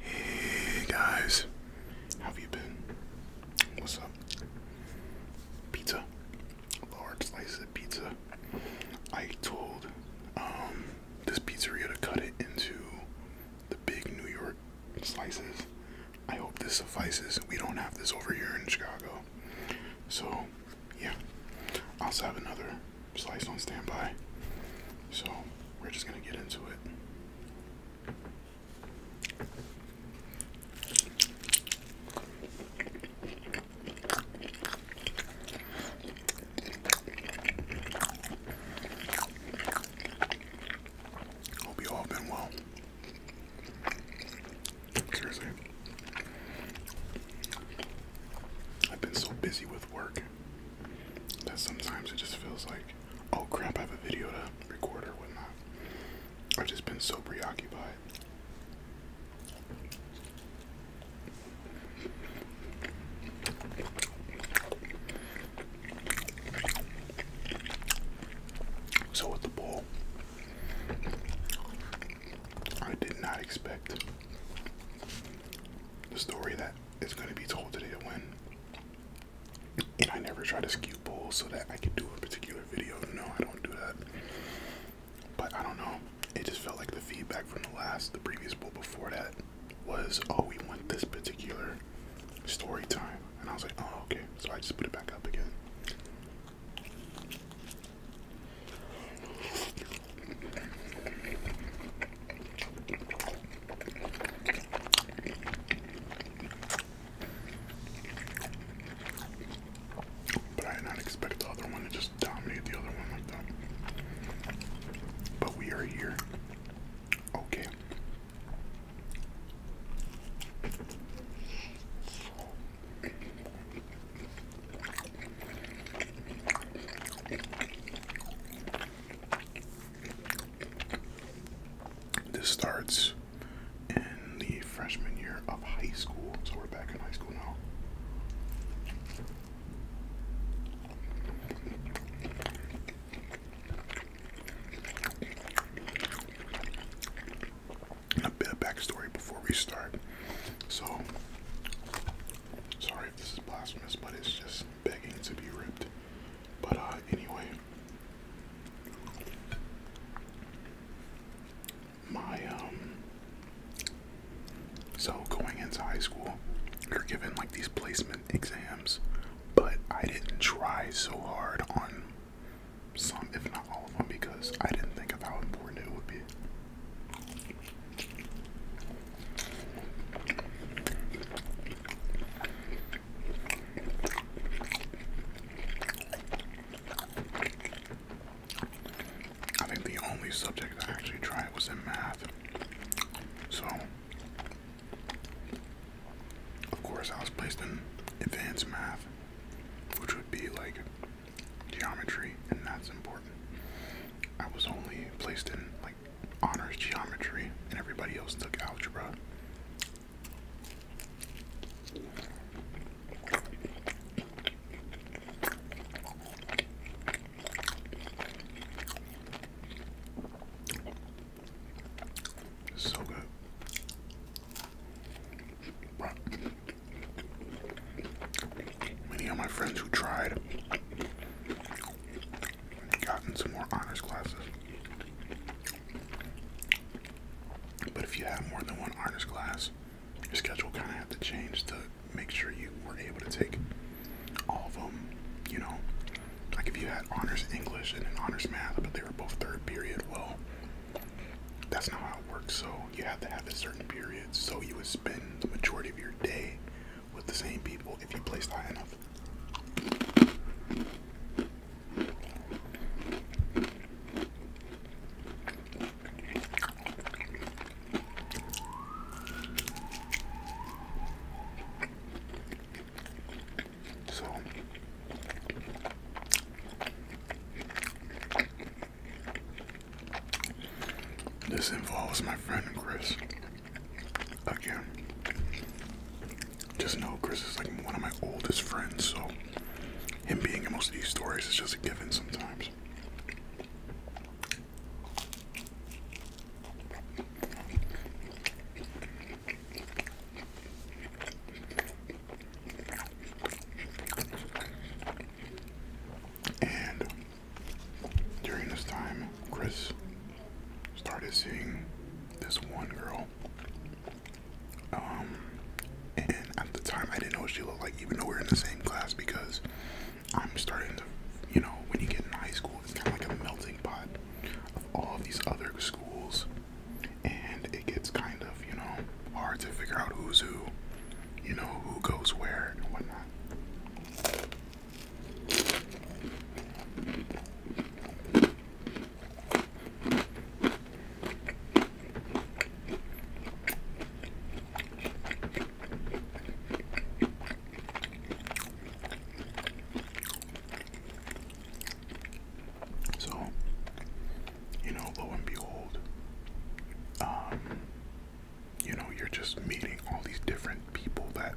Hey guys, how have you been? What's up? Pizza, large slices of pizza. I told um, this pizzeria to cut it into the big New York slices. I hope this suffices. We don't have this over here in Chicago, so yeah. I also have another slice on standby. So we're just going to get into it. Hope you all been well. Seriously. I've been so busy with work that sometimes it just feels like Oh crap, I have a video to record or whatnot. I've just been so preoccupied. So, with the bowl, I did not expect the story that is going to be told today to and I never try to skew polls so that I can do a particular video. No, I don't do that. But I don't know. It just felt like the feedback from the last, the previous poll before that was, oh, we want this particular story time. And I was like, oh, okay. So I just put it back up again. But I did not expect the other one to just dominate the other one like that. But we are here. Okay. This starts in the freshman year of high school, so we're back in high school now. A bit of backstory before we start. So, sorry if this is blasphemous, but it's just begging to be ripped. But uh, anyway, my um, so going into high school, you're given like these placement exams, but I didn't try so hard on some, if not all of them, because I didn't think of how important it would be. I think the only subject I actually tried was in math. So, of course, I was placed in advanced math, which would be like geometry, and that's important. I was only placed in like honors geometry, and everybody else took algebra. So good. many of my friends who tried gotten some more honors classes. But if you have more than one honors class, your schedule kind of had to change to make sure you were able to take all of them. You know, like if you had honors English and honors math, but they were both third period, well, that's not how it works. So you have to have a certain period. So you would spend the majority of your day with the same people if you placed high enough. So this involves my friend Chris. Again, just know Chris is like one of my oldest friends, so him being in most of these stories is just a given sometimes. And during this time, Chris started seeing this one girl. Um, and at the time, I didn't know what she looked like, even though we we're in the same class, because I'm starting to, you know, when you get in high school, it's kind of like a melting pot of all of these other schools, and it gets kind of, you know, hard to figure out who's who, you know, who goes where and whatnot. So, you know, lo and behold, um, you know, you're just meeting all these different people that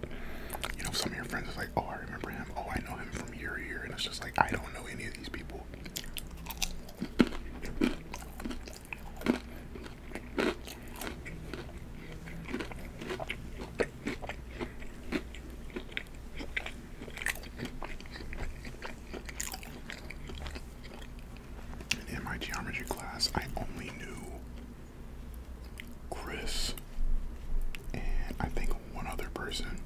you know some of your friends is like, oh I remember him, oh I know him from year year, and it's just like I don't know any of these people. in my geometry class, I only knew Chris, and I think one other person.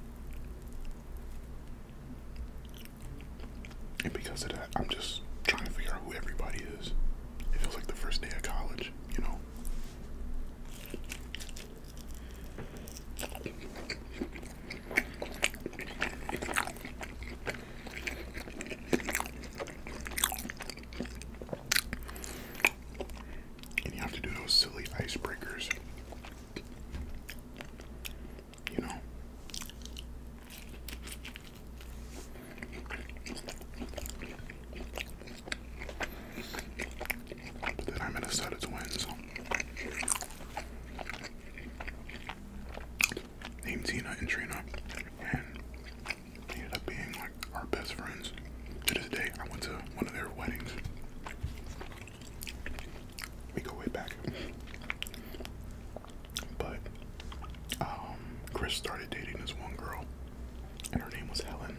And because of that, I'm just trying to figure out who everybody is. It feels like the first day of college, you know? And you have to do those silly icebreakers. You know? But then I'm in a set of twins named Tina and Trina, and ended up being like our best friends. To this day, I went to one of their weddings. We go way back. But um, Chris started dating this one girl, and her name was Helen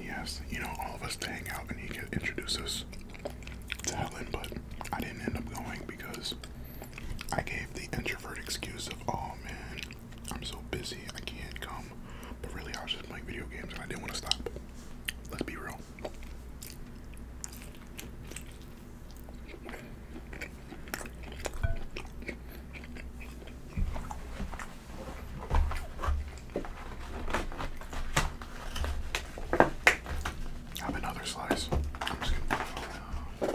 yes, you know, all of us to hang out and he could introduce us to Helen, but I didn't end up going because I gave the introvert excuse of, oh man, I'm so busy, I can't come. But really, I was just playing video games and I didn't want to stop. Let's be real. Have another slice. I'm just gonna put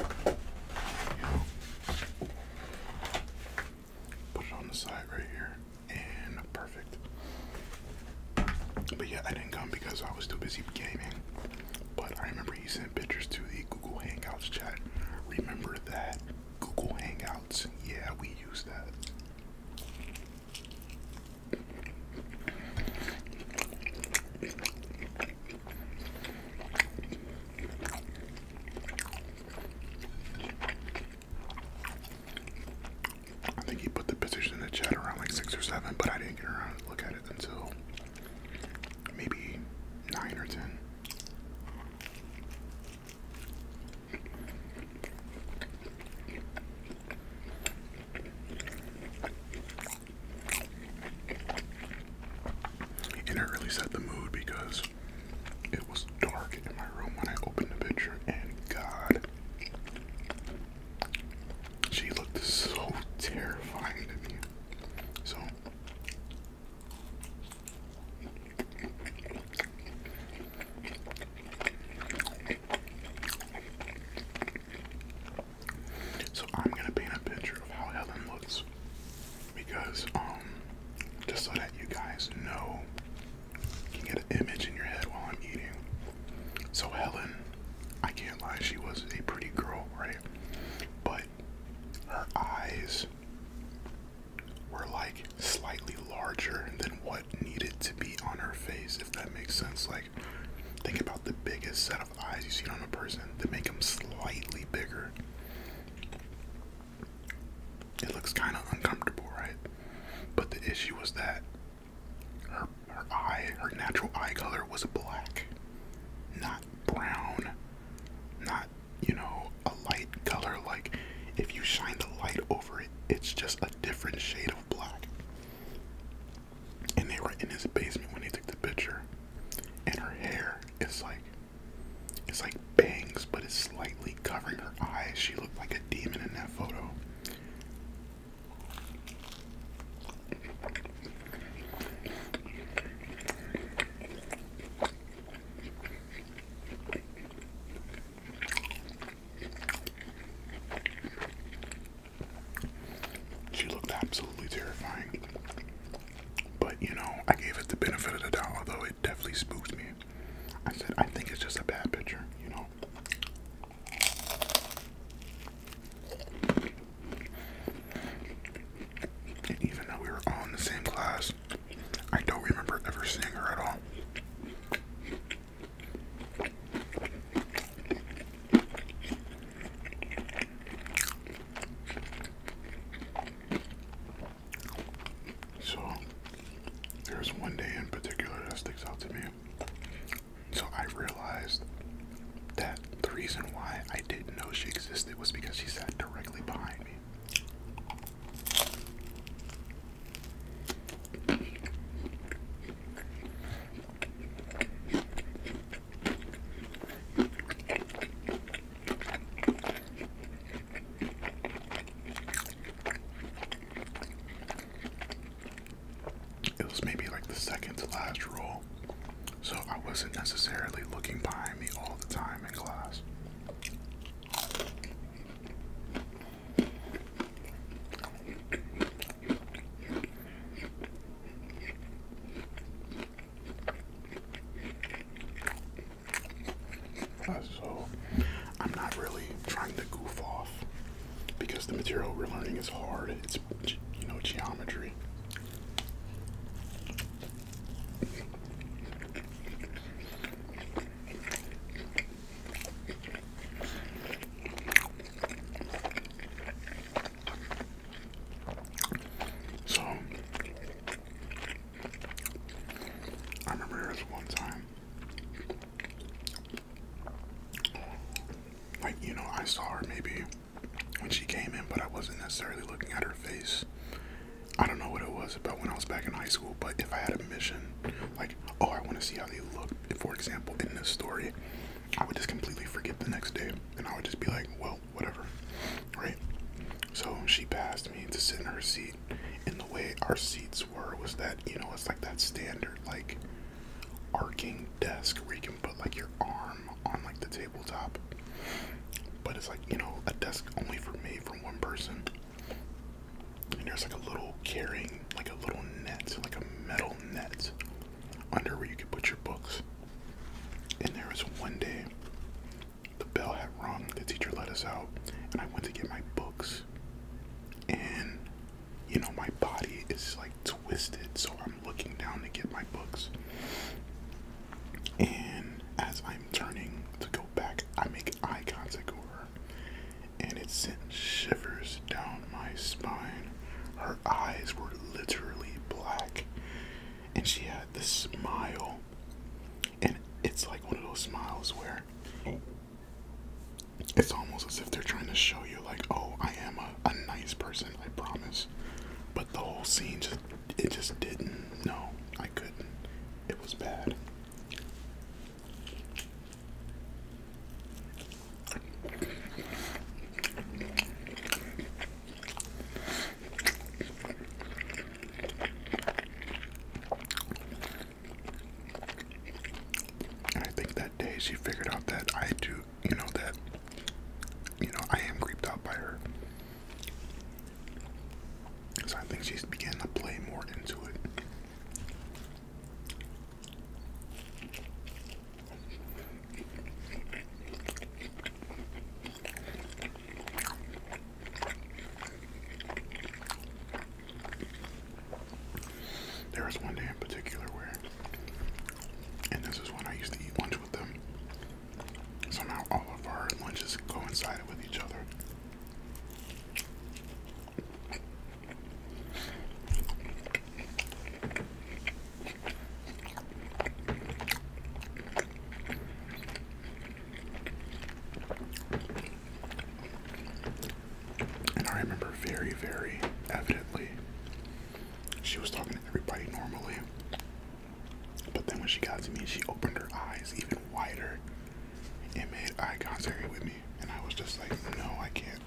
it on, the side right here, and perfect. But yeah, I didn't come because I was too busy gaming. But I remember he sent pictures to the Google Hangouts chat. Remember that Google Hangouts? Yeah, we use that. I think he put the position in the chat around like six or seven, but I didn't get around to look at it until maybe nine or ten. And it really set the mood because it was dark in my room when I opened the picture, and God, she looked so terrifying to me. So, so I'm gonna paint a picture of how Helen looks because um just so that you guys know you can get an image in your head while I'm eating. So Helen, I can't lie, she was a pretty girl, right? But her eyes were like slightly larger than what needed to be on her face, if that makes sense. Like, think about the biggest set of eyes you see on a person that make them slightly bigger. It looks kind of uncomfortable, right? But the issue was that her her eye, her natural eye color was black, not brown, not you know a light color like if you shine the light over it it's just a different shade of black and they were in his basement when he took the picture and her hair is like it's like bangs but it's slightly covering her eyes she looked like a demon in that photo she looked absolutely terrifying. But you know, I gave it the benefit of the doubt, although it definitely spooked me. I said, I think it's just a bad picture, you know. And even though we were all in the same class, I don't remember ever seeing her at all. So, there's one day in particular that sticks out to me. So, I realized that the reason why I didn't know she existed was because she sat directly behind me. It was maybe like the second to last roll, so I wasn't necessarily looking behind me all the time in class. Uh, so, I'm not really trying to goof off because the material we're learning is hard. It's, you know, geometry. So I remember her was one time, like you know, I saw her maybe when she came in, but I wasn't necessarily looking at her face. I don't know what it was about when I was back in high school, but if I had a mission, like oh, I want to see how they look. For example, in this story, I would just completely forget the next day, and I would just be like, well, whatever, right? So she passed me to sit in her seat, and the way our seats were was that you know it's like that standard like arcing desk where you can put like your arm on like the tabletop, but it's like you know a desk only for me from one person. And there's like a little carrying, like a little net, like a metal net under where you could put your books. And there was one day the bell had rung, the teacher let us out, and I went to get my books. And you know, my body is like twisted, so I'm looking down to get my books. And as I'm turning to go back, I make like and it sent shivers down my spine. Her eyes were literally black, and she had this smile, and it's like one of those smiles where it's almost as if they're trying to show you, like, oh, I am a, a nice person, I promise. But the whole scene just it just didn't. No, I couldn't. It was bad. I think that day she figured out that I do, you know, that, you know, I am creeped out by her. So I think she's began to play more into it. There was one day in particular where, and this is when I used to eat lunch with them. Somehow all of our lunches coincided with each other. And I remember very, very evidently she was talking to everybody normally. But then when she got to me, she opened her eyes even wider and made eye contact with me. And I was just like, no, I can't.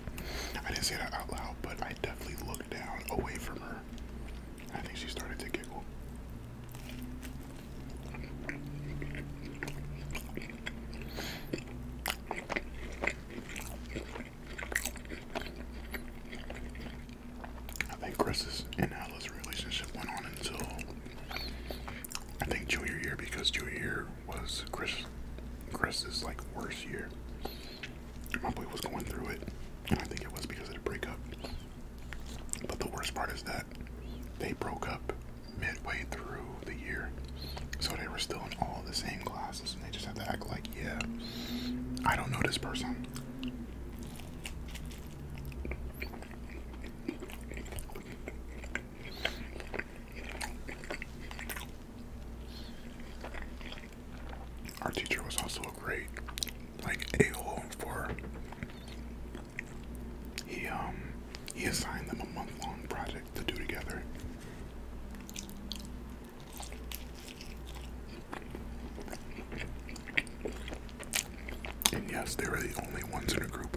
I didn't say that out loud, but I definitely looked down away from her. I think she started to giggle. I think Chris's and Alice's relationship went on until I think junior year because junior year was Chris Chris's like worst year. My boy was going through it. I think it was because of the breakup. But the worst part is that they broke up midway through the year. So they were still in all the same classes and they just had to act like, yeah, I don't know this person. Our teacher was also a great, like, a-hole for. He um he assigned them a month-long project to do together. And yes, they were the only ones in a group.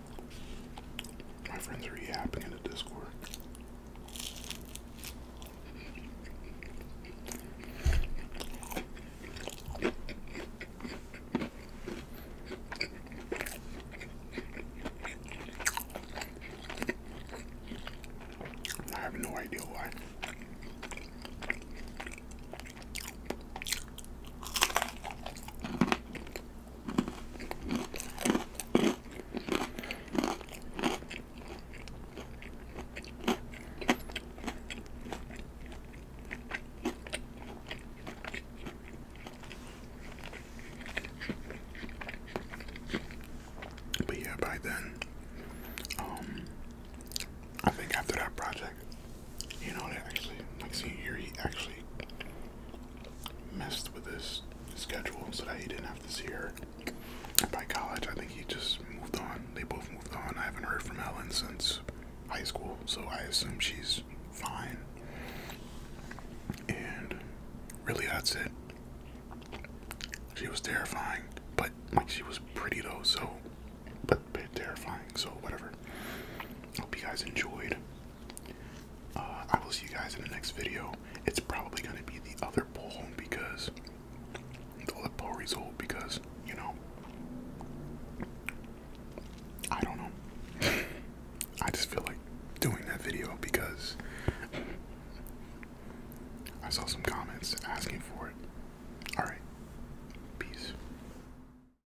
My friends are yapping in the Discord. I have no idea why. But yeah, by then, um, I think after that project, you know what? Actually, like thing you he actually messed with his schedule so that he didn't have to see her. By college, I think he just moved on. They both moved on. I haven't heard from Ellen since high school, so I assume she's fine. And really, that's it. She was terrifying, but like she was pretty though, so but bit terrifying, so whatever. Hope you guys enjoyed. Uh, I will see you guys in the next video. It's probably going to be the other poll because the other poll result because you know I don't know. I just feel like doing that video because I saw some comments asking for it. All right, peace.